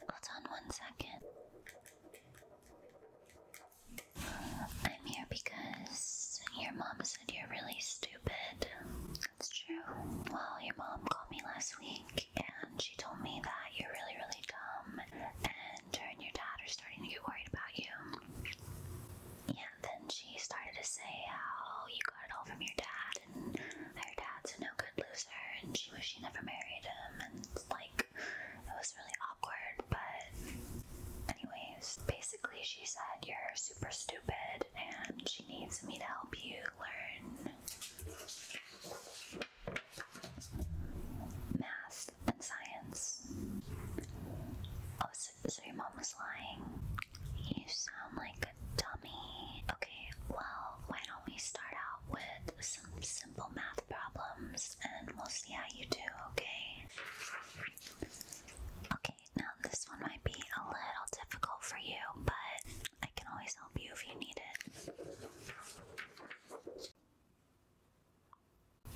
Hold on one second. Uh, I'm here because your mom said you're really stupid. That's true. Well, your mom called me last week and she told me that you're really, really dumb and your dad are starting to get worried about you. And then she started to say how you got it all from your dad, and her dad's a no good loser, and she wished she never married him. And like, it was really awkward, but, anyways, basically, she said you're super stupid and she needs me to help you learn math and science. Oh, so, your mom was lying. You sound like a dummy. Okay, well, why don't we start out with some simple math problems and we'll see how you do, okay? Okay, now this one might be a little difficult for you, but I can always help you if you need it.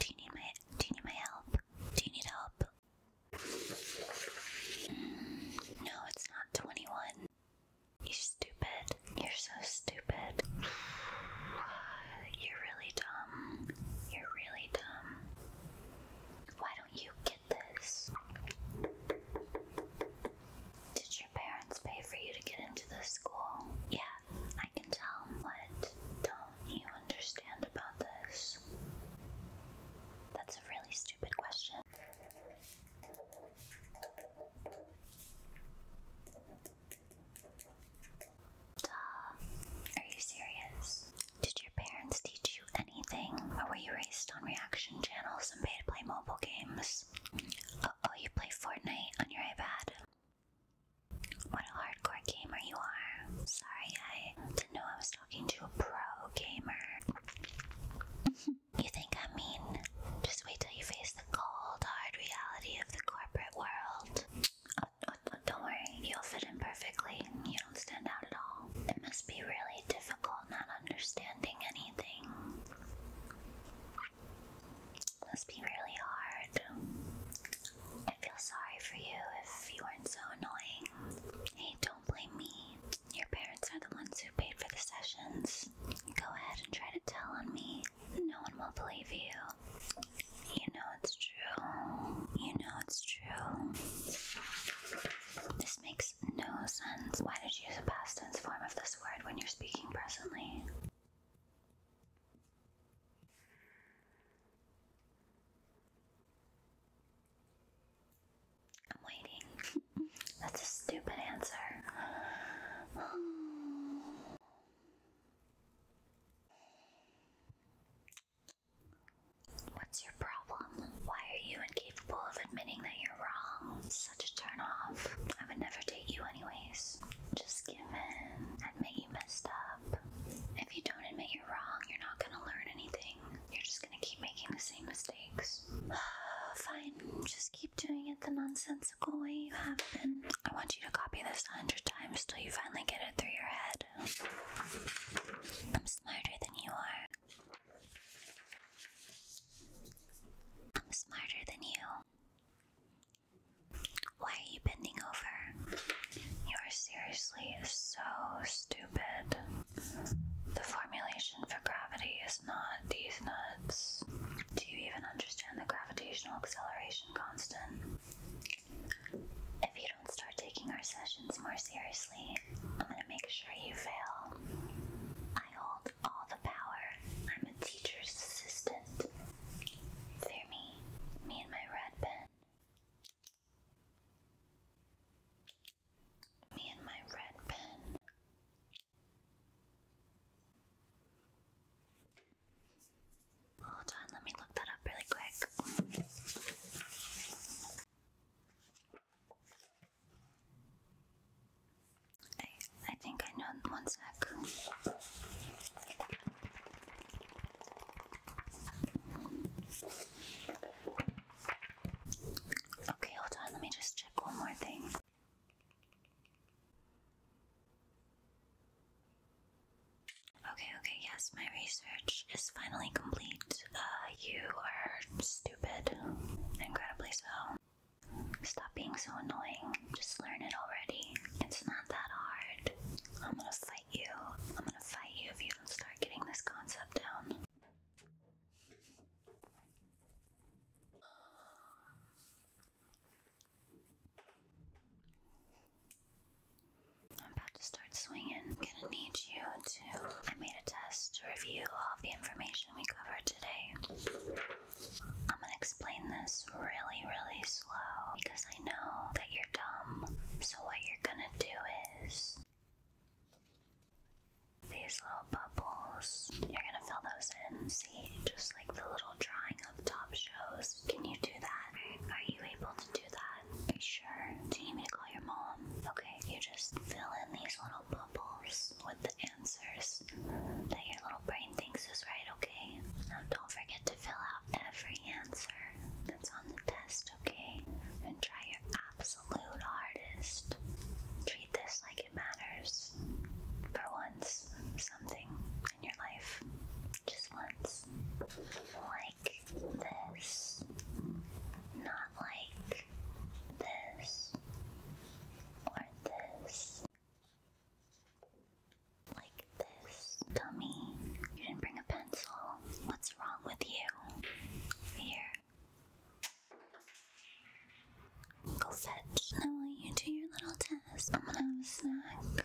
Do you need my do you need my help? Do you need help? Mm, no, it's not 21. You're stupid. You're so stupid. You're really dumb. You're really dumb. Why don't you get this? Did your parents pay for you to get into this school? Yeah, I can tell. What don't you understand about this? That's a really stupid question. Are you serious? Did your parents teach you anything? Or were you raised on reaction channels and paid to play mobile games? oh, you play Fortnite on your iPad. What a hardcore gamer you are. Sorry, I didn't know I was talking to a pro gamer. you think I'm mean? Just wait till you face the cold, hard reality of the corporate world. don't worry, you'll fit in perfectly. You don't stand out at all. It must be really difficult not understanding anything. Must be really hard. I feel sorry for you if you weren't so annoying. Hey, don't blame me. Your parents are the ones who paid for the sessions. Go ahead and try to tell on me. No one will believe you. You know it's true. You know it's true makes no sense. Why did you use a past tense form of this word when you're speaking presently? I'm waiting. That's a stupid answer. What's your problem? Why are you incapable of admitting that you're wrong? such a turn I would never date you anyways. Just give in. Admit you messed up. If you don't admit you're wrong, you're not gonna learn anything. You're just gonna keep making the same mistakes. Fine, just keep doing it the nonsensical way you have been. I want you to copy this a hundred times till you finally get it through your head. I'm smarter than you are. I'm smarter than you. Why are you bending over? You're seriously so stupid. The formulation for gravity is not these nuts. Do you even understand the gravitational acceleration constant? If you don't start taking our sessions more seriously, I'm gonna make sure you fail. I hold all the power. I'm a teacher's assistant. Fear me, me and my red pen. Me and my red pen. Hold on, let me look that up really quick. I, think I know one Okay, hold on, let me just check one more thing. Okay, okay, yes, my research is finally complete. Uh, you are stupid. Incredibly so. Stop being so annoying. Just learn it already. It's not that hard. I'm gonna fight you. I'm gonna fight you if you don't start getting this concept down. I'm about to start swinging. gonna need you to. I made a test to review all the information we covered today. I'm gonna explain this really, really slow because I know that you're dumb. So, what you're gonna do is these little bubbles, you're gonna fill those in. See, just like the little drawing up top shows. Can you do that? Are you able to? do that. Are sure? Do you need me to call your mom? Okay, you just fill in these little bubbles with the answers that your little brain thinks is right, okay? Now don't forget to fill out every answer that's on the test, okay? And try your absolute hardest. Treat this like it matters. For once, something in your life. Just once. Why like this, not like this or this. Like this. Dummy, you didn't bring a pencil. What's wrong with you? Here. Go fetch. Now, will you do your little test? I'm gonna have a snack.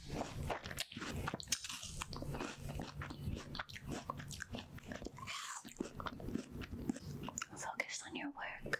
Focus on your work.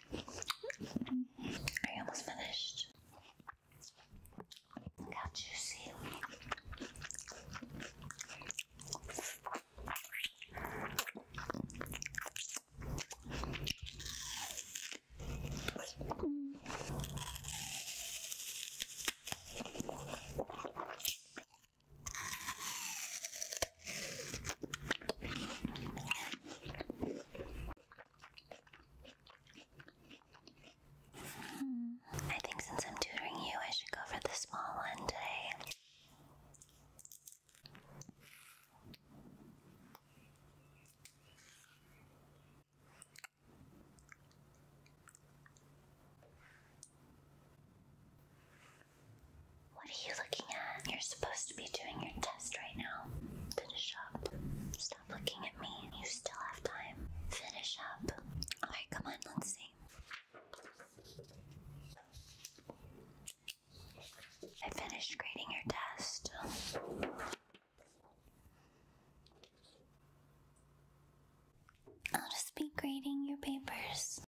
Are you almost finished? Look how juicy. Hmm. I think since I'm tutoring you, I should go for the small one today. What are you looking at? You're supposed to be doing your test right now. Finish up. Stop looking at me. You still have time. Finish up. Alright, come on, let's see. I finished grading your test. I'll just be grading your papers.